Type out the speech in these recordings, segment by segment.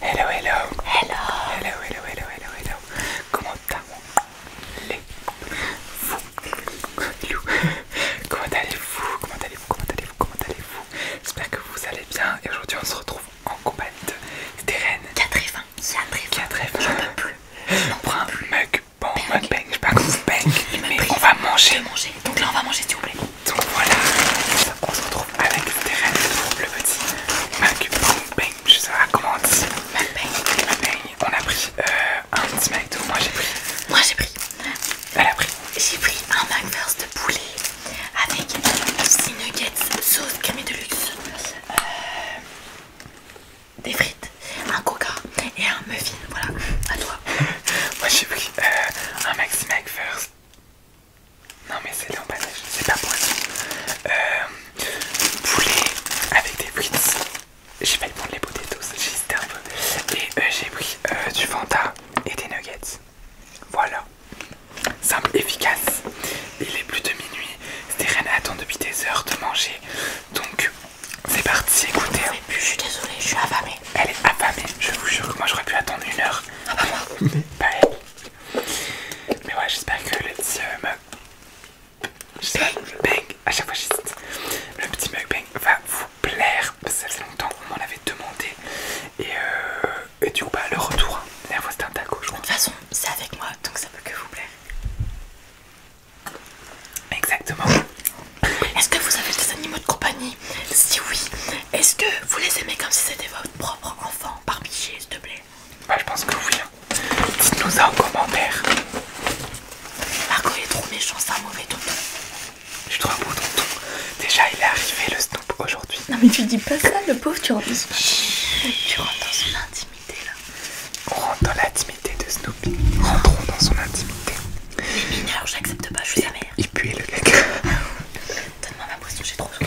Hello, hello. Hello. Hello, hello, hello, hello, hello. Comment allez-vous Comment allez-vous Comment allez-vous Comment allez-vous Comment allez-vous J'espère que vous allez bien. Et aujourd'hui, on se retrouve en compagnie de Terraine. 4 4 J'en peux plus. On prend un mug. Bon, mug bang. Je sais pas mug bang. on va manger. manger. Donc là, on va manger, s'il vous plaît. Donc voilà. On se retrouve des avec Stéphane, le petit bang, je sais pas comment on dit. McBang. On a pris euh, un petit McDo, moi j'ai pris. Moi j'ai pris. Elle a pris. J'ai pris un McFirst de poulet avec 6 nuggets, sauce crème de luxe, euh, des frites, un coca et un muffin. Voilà, à toi. moi j'ai pris euh, un Maxi McFirst non mais c'est l'emballage, c'est pas poisson. Euh, poulet avec des frites. J'ai failli prendre les potatoes, j'hésitais un peu. Et euh, j'ai pris euh, du Fanta et des nuggets. Voilà. Simple, efficace. Il est plus de minuit. C'était rien depuis des heures de manger. Donc c'est parti, écoutez. Je suis désolée, je suis affamée. Elle est affamée, je vous jure que moi j'aurais pu attendre une heure. Ah bah Mais ouais, j'espère que le petit euh, mug bang à chaque fois j'hésite, le petit mukbang va vous plaire. Parce que ça fait longtemps qu'on m'en avait demandé. Euh, et, du coup, bah, le retour, la voix De toute façon, c'est avec moi donc ça peut que vous plaire. Exactement. Est-ce que vous avez des animaux de compagnie Si oui, est-ce que vous les aimez comme si c'était votre propre enfant par chez s'il te plaît bah, je pense que oui. Hein. Dites-nous en commentaire. Marco est trop méchant, c'est un mauvais tonton. Je suis trop beau tonton. Déjà il est arrivé le Snoop aujourd'hui. Non mais tu dis pas ça le pauvre, tu rentres dans son intimité. Tu rentres dans son intimité là. On rentre dans l'intimité de Snoopy. Rentrons dans son intimité. Il j'accepte pas, je suis sa mère. Il pue le mec Donne-moi ma potion, j'ai trop chaud.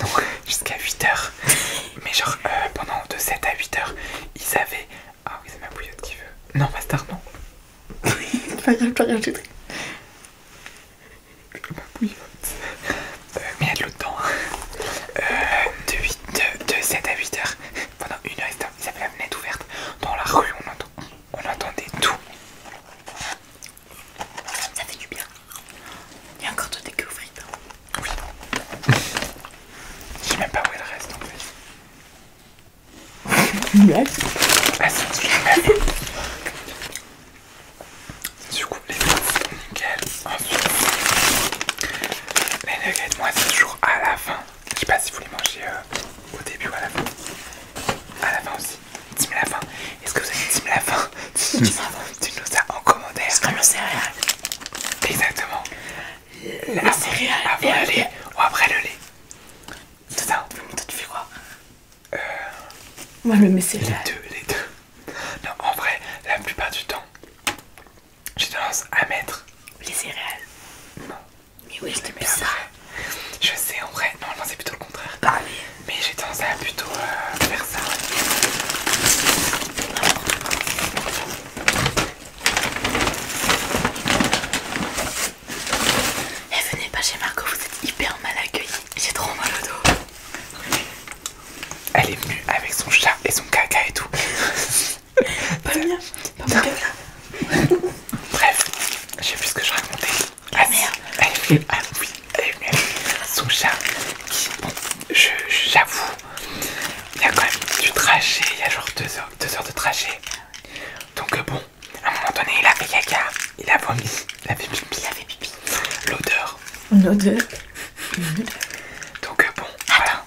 non, jusqu'à 8h. Mais genre, euh, pendant de 7 à 8h, ils avaient. Ah oui, c'est ma bouillotte qui veut. Non, non. pas rien, pas rien, j'ai Ma bouillotte. Euh, mais il y a de l'eau dedans. Hein. Euh, de, 8, de, 7 à 8h, pendant une heure, ils avaient la fenêtre ouverte. Dans la rue, on, on entendait tout. Ça fait du bien. Il y a encore de écueils hein. Oui. Je sais même pas où elle reste en fait. Ah, du coup, les nickel. Ensuite, les nuggets, moi c'est toujours à la fin. Je sais pas si vous les mangez euh, au début ou à la fin. À la fin aussi. dis à la fin. Est-ce que vous avez dit la fin Tu nous as en commentaire. C'est comme le céréale Exactement. La, céréale, Après le lait ou après le lait. C'est ça. Toi, tu fais quoi euh, Moi, le me mets Les deux, les Non, en vrai, la plupart du temps, j'ai tendance à mettre. Les céréales. Non. Mais oui, je te mets Je sais, en vrai, Non, normalement, c'est plutôt le contraire. Bah mais j'ai tendance à plutôt euh, faire ça. Et eh, venez pas chez Marco, vous êtes hyper mal accueillis. J'ai trop mal au dos. Elle est venue avec son chat et son caca et tout. pas le mien, pas mon caca. Bref, je sais plus ce que je racontais. Ah merde, elle est venue. Ah oui, son chat qui, bon, j'avoue, il y a quand même du trajet, il y a genre 2 heures, deux heures de trajet. Donc euh, bon, à un moment donné, il a fait caca, il a vomi, il a fait pipi, il L'odeur. L'odeur. Donc euh, bon, voilà.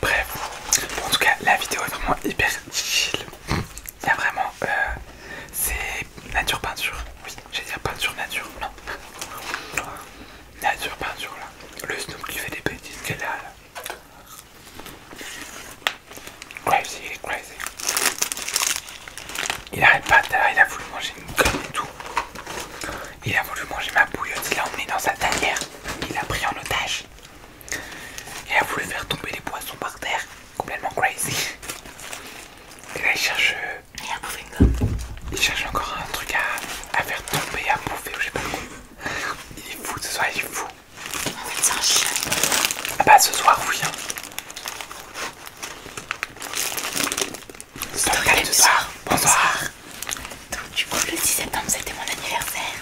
Bref, en tout cas, la vidéo est vraiment hyper chill. Il y a vraiment, euh, c'est nature peinture. Oui, j'allais dire peinture nature. Non. Nature peinture là. Le snoop qui fait des bêtises qu'elle a là. Crazy, il est crazy. Il arrête pas, il a voulu manger une gomme et tout. Il a voulu manger ma bouillotte, il l'a emmené dans sa tanière. Il l'a pris en otage. Il a voulu faire tomber les poissons par terre complètement crazy. Et là, il cherche. Il a Il cherche encore un truc à, faire tomber, à bouffer, je sais pas le quoi. Il est fou ce soir, il est fou. il chien. Ah bah, ce soir, oui. Hein. ce soir ce soir. Bonsoir. Donc, du coup, le 10 septembre, c'était mon anniversaire.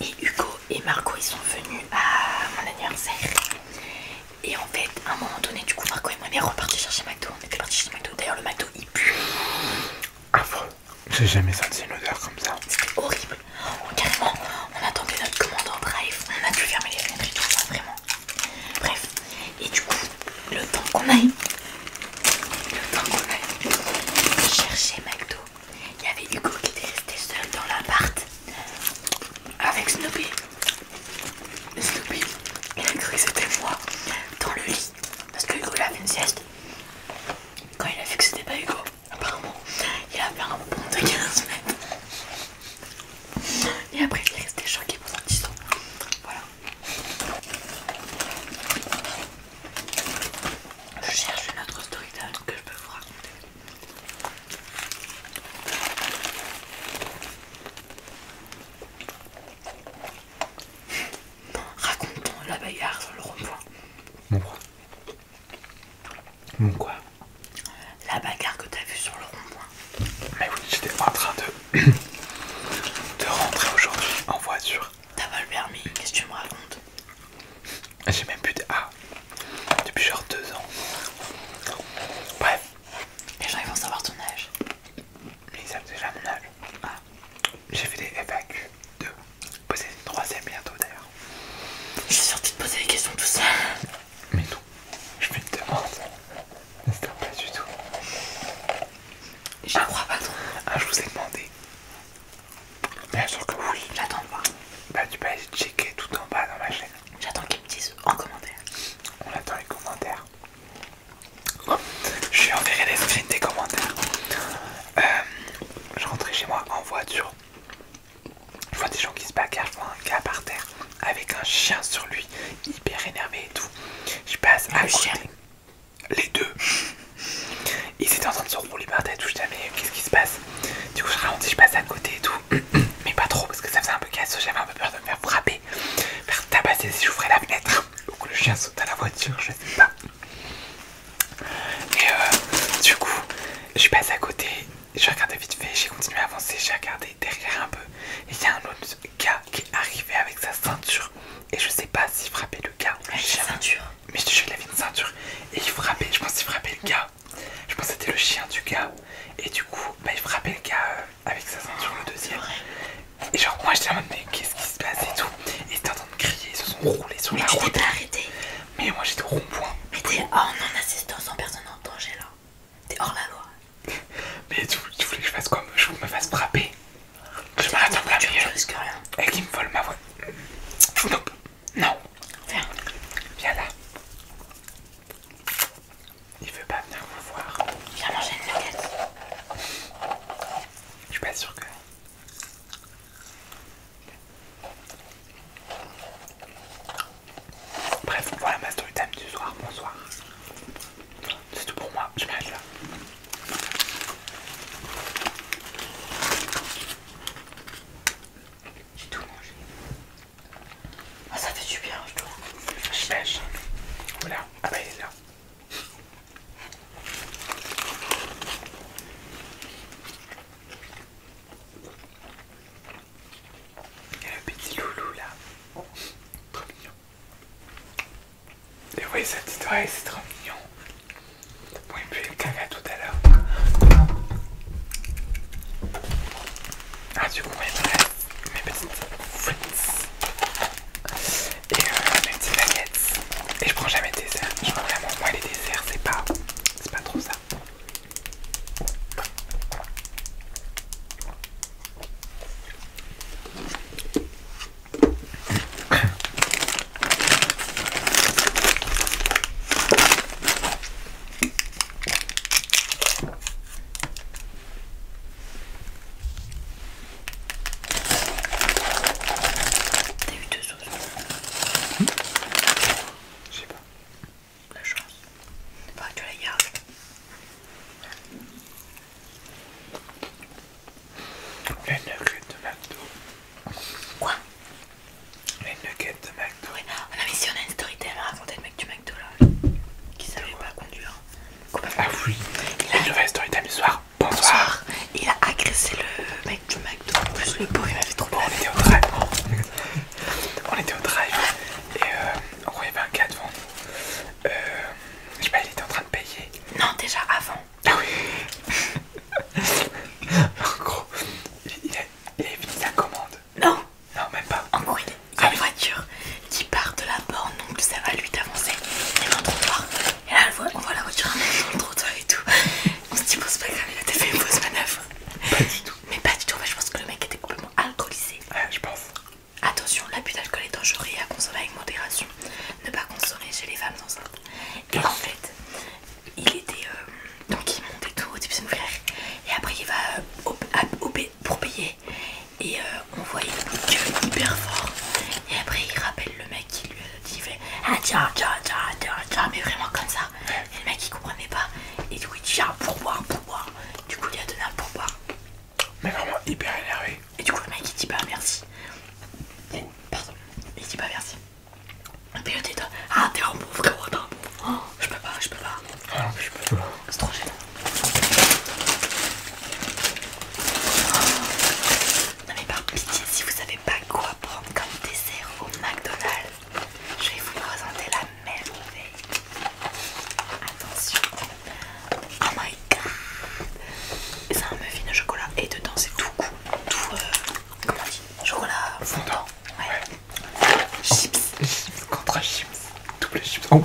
Et Hugo et Marco, ils sont venus à mon anniversaire. Et en fait, à un moment donné, du coup, Marco et moi, on est repartis chercher McDo. On était repartis chercher McDo. D'ailleurs, le McDo il pue. Affreux. J'ai jamais senti une odeur comme ça. C'était horrible. On, oh, carrément, on attendait notre commandant, en drive. On a dû fermer les fenêtres et tout ça, vraiment. Bref. Et du coup, le temps qu'on aille, le temps qu'on aille chercher McDo, il y avait Hugo qui était resté seul dans l'appart avec Snoopy. Snoopy, il a cru que c'était moi dans le lit parce que Hugo il a fait une sieste. Quand il a vu que c'était pas Hugo, apparemment, il a fait un bond de 15 mètres. Et après, il est resté choqué pendant 10 ans. Voilà. Je cherche une autre story que je peux vous raconter raconte nous la bagarre sur le rond-point Mon quoi Mon quoi La bagarre que t'as vue sur le rond-point. Mais oui, j'étais en train de... de rentrer aujourd'hui en voiture. T'as pas le permis, qu'est-ce que tu me racontes J'ai même plus de... A ah, Depuis genre deux ans. Bref, les gens ils vont savoir ton âge. Mais ils savent déjà mon âge. Ah. J'ai fait des FAQ de Poser une troisième bientôt d'ailleurs. Je suis sortie de poser des questions tout ça. Mais non, Je me demande. C'était pas du tout. Je crois pas trop. Ah, je vous ai demandé. Bien sûr que oui. J'attends de voir. Bah, tu peux aller checker tout en bas dans ma chaîne. J'attends qu'ils me disent en commentaire. On attend les commentaires. je vais enverrer les screens des commentaires. Euh, je rentrais chez moi en voiture. Je vois des gens qui se bagarrent, je vois un gars par terre avec un chien sur lui, hyper énervé et tout. Je passe à Les deux. Ils étaient en train de se rouler par terre Je mais qu'est-ce qui se passe Du coup, je si je passe à côté et tout. mais pas trop parce que ça faisait un peu casse, j'avais un peu peur de me faire frapper, faire tabasser si j'ouvrais la fenêtre ou que le chien saute à la voiture, je sais pas. Et euh, du coup, je suis passé à côté, Je regardais vite fait, j'ai continué à avancer, j'ai regardé derrière un peu, et il y a un autre gars qui est arrivé avec sa ceinture, et je sais pas s'il frappait le gars ou le chien. Mais je te jure, il une ceinture, et il frappait, je pense qu'il frappait le gars, je pense que c'était le chien du gars, et du coup, bah, il frappait le gars. Euh, avec sa ceinture, le deuxième. Et genre, moi j'étais en mode, mais qu'est-ce qui se passe et tout. Et t'es en train de crier, ils se sont roulés sur mais la tu route. arrêté. Mais moi j'étais au rond-point. Mais t'es oh, en non-assistance en personne en danger là. T'es hors la loi. mais tu, voulais que je fasse quoi Je me fasse frapper. Je m'arrête en plein milieu. Et qui me vole ma voix. Nope. Non. Viens. Viens là. Il veut pas venir vous voir. il a mangé une nuggets. Je suis pas sûre que. Bref, voilà ma story time du soir. Bonsoir. C'est tout pour moi. Je m'arrête là. J'ai tout mangé. Ah, ça fait du bien, je trouve. J'imagine. Oula, Ah, bah, il est là. Il y a le petit loulou là. trop mignon. Et oui, cette sa petite c'est trop mignon. Bon, il me fait le caca tout à l'heure. Ah, du coup, on mettrait mes petites frites et euh, mes petites baguettes. Et je prends jamais de dessert. Je prends vraiment, moi, les desserts, c'est pas, c'est pas trop ça. T'as eu deux sauces Je sais pas. La chance. que tu la gardes. Les nuggets de McDo. Quoi Les nuggets de McDo. Oh, si on a une story, elle me raconter le mec du McDo qui savait pas conduire. Ah oui, il a... nouvelle story time Bonsoir. Il a agressé le mec du McDo. En plus, le pauvre il m'avait trop peur. On était au drive. On était au drive et euh, en gros, il un gars devant nous. Euh, je sais pas, il était en train de payer. Non, déjà avant. Ah oui. en gros, il, il avait fini sa commande non Non, même pas. En gros, il une voiture qui part de la borne, donc ça va lui d'avancer. Et dans le trottoir. Et là, on voit la voiture dans le trottoir et tout. On se dit, bon, c'est pas grave, il a fait une fausse manœuvre. Pas du tout. Mais pas du tout, mais je pense que le mec était complètement alcoolisé. Ouais, je pense. Attention, l'abus d'alcool est dangereux et à consommer avec modération. Ne pas consommer chez les femmes enceintes. Et en fait, il était. Euh, donc il monte et tout au type son frère. Et après il va euh, pour payer et euh, on voyait il fait hyper fort et après il rappelle le mec qui lui a dit ah tiens tiens tiens tiens tiens mais vraiment comme ça et le mec il comprenait pas et du coup il dit ah pour boire pour du coup il a donné un pour mais vraiment hyper énervé et du coup le mec il dit pas bah, merci pardon il dit pas bah, merci et puis il dit ah t'es un pauvre, t'es un je peux pas, je peux pas. Ah non, je peux pas. C'est trop gênant. Ah. Non mais par pitié, si vous savez pas quoi prendre comme dessert au McDonald's, je vais vous présenter la merveille. Attention. Oh my god. C'est un muffin au chocolat et dedans c'est tout cool. Tout, euh, Chocolat fondant. ouais. Chips. Chips contre chips. Double chips. Oh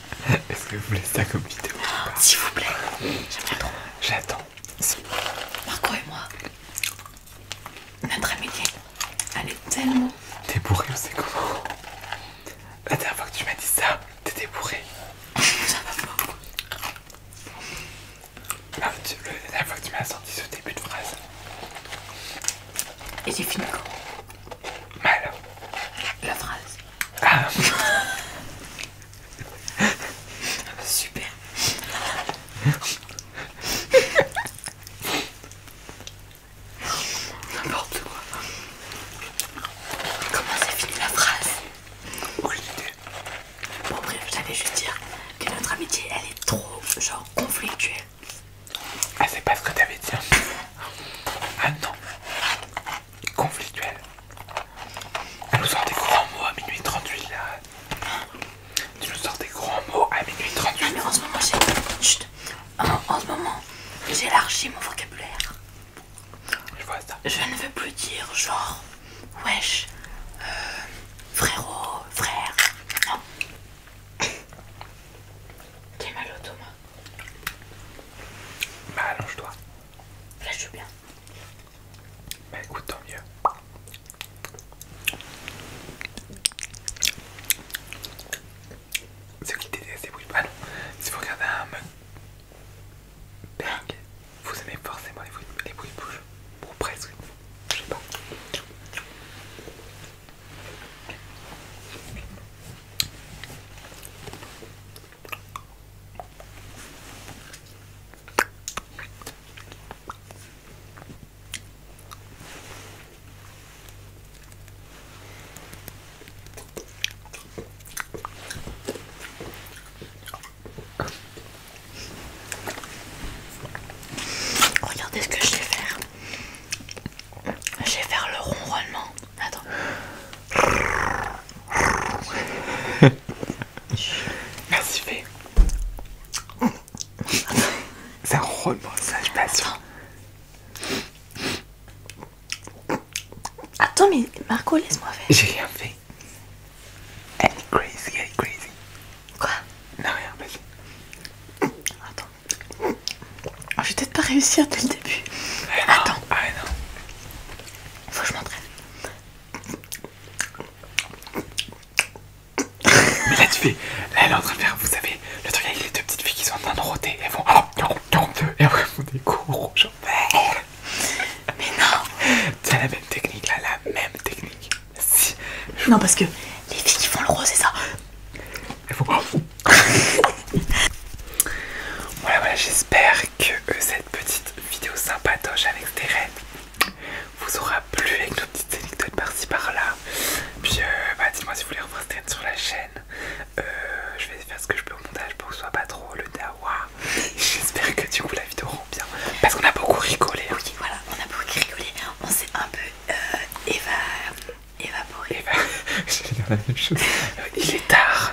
Est-ce que vous voulez ça comme vidéo S'il vous plaît, J'attends. J'attends. Marco et moi, notre amitié, Allez, tellement. T'es bourré, on sait La dernière fois que tu m'as dit ça, t'étais bourré. ça va pas. Ah, la dernière fois que tu m'as sorti ce début de phrase. Et c'est fini quoi Mal. La phrase. Ah. Super. N'importe quoi. Comment ça finit la phrase Oui, idée. Bon bref, j'allais juste dire que notre amitié, elle est trop genre conflictuelle. Ah c'est pas ce que t'avais dit. Hein. Ah non. Conflictuel Tu nous sors des grands mots à minuit 38 là. Tu nous sors des grands mots à minuit 38. Non, mais en ce moment, j'ai. élargi mon vocabulaire. Je vois ça. Je ne veux plus dire genre wesh, euh, frérot, frère. Non. T'es mal au Thomas. Bah allonge-toi. Là, je suis bien. Bah écoute, tant mieux. Ceux qui détestent les bruits Ah non, si vous regardez un Bang vous aimez forcément les bruits, les bruits de bouche. Ou presque, je sais pas. Regardez ce que je vais faire. Je vais faire le ronronnement. Attends. Merci, fais. C'est un pas passe. Attends, mais Marco, laisse-moi faire. J'ai rien fait. Elle eh, crazy, elle eh, crazy. Quoi Non, rien, vas-y. Attends. je vais peut-être pas réussir dès le début. Eh Attends. Ah non. Il faut que je m'entraîne. Mais là tu fais, là elle est en train de faire, vous savez, le truc avec les deux petites filles qui sont en train de rôter, elles font ah, et elles font des coups rouges. Mais non C'est la même technique là, la même technique. Si. Non parce que les filles qui font le rose c'est ça. Elles font... Oh. voilà voilà, j'espère que cette euh, cette petite vidéo sympatoche avec des vous aura plu avec nos petites anecdotes par-ci par-là. Puis euh, bah, dites-moi si vous voulez reprendre cette sur la chaîne. Euh, je vais faire ce que je peux au montage pour que ce soit pas trop le dawa. J'espère que du coup la vidéo rend bien. Parce qu'on a beaucoup rigolé. Hein. Oui, voilà, on a beaucoup rigolé. On s'est un peu euh, évaporé. J'allais dire la même chose. Il est tard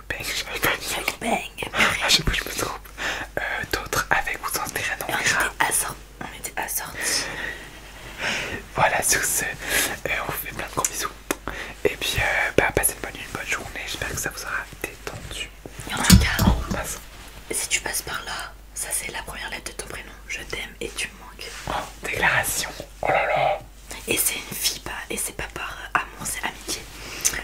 je ah, je, je me trompe. Euh, d'autres avec vous en terrain, on On était assortis. Voilà, sur ce, euh, on vous fait plein de gros bisous. Et puis, euh, bah, passez une bonne journée. J'espère que ça vous aura détendu. y en a un si tu passes par là, ça c'est la première lettre de ton prénom. Je t'aime et tu me manques. Oh, déclaration. Oh là là. Et c'est une fille, pas. Et c'est pas par amour, c'est amitié.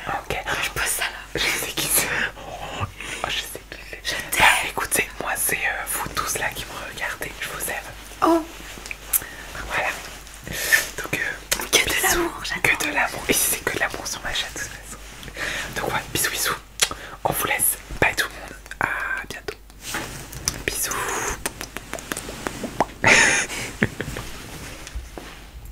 Ok. Je pose ça là. Je sais qui c'est. Oh, je sais qui c'est. Bah, écoutez, moi c'est euh, vous tous là qui me regardez. Je vous aime. Oh. Voilà. Donc euh, que de l'amour, Que de l'amour. Et si c'est que de l'amour sur ma chaîne de toute façon. Donc ouais, bisous, bisous. On vous laisse. Bye tout le monde. A bientôt. Bisous.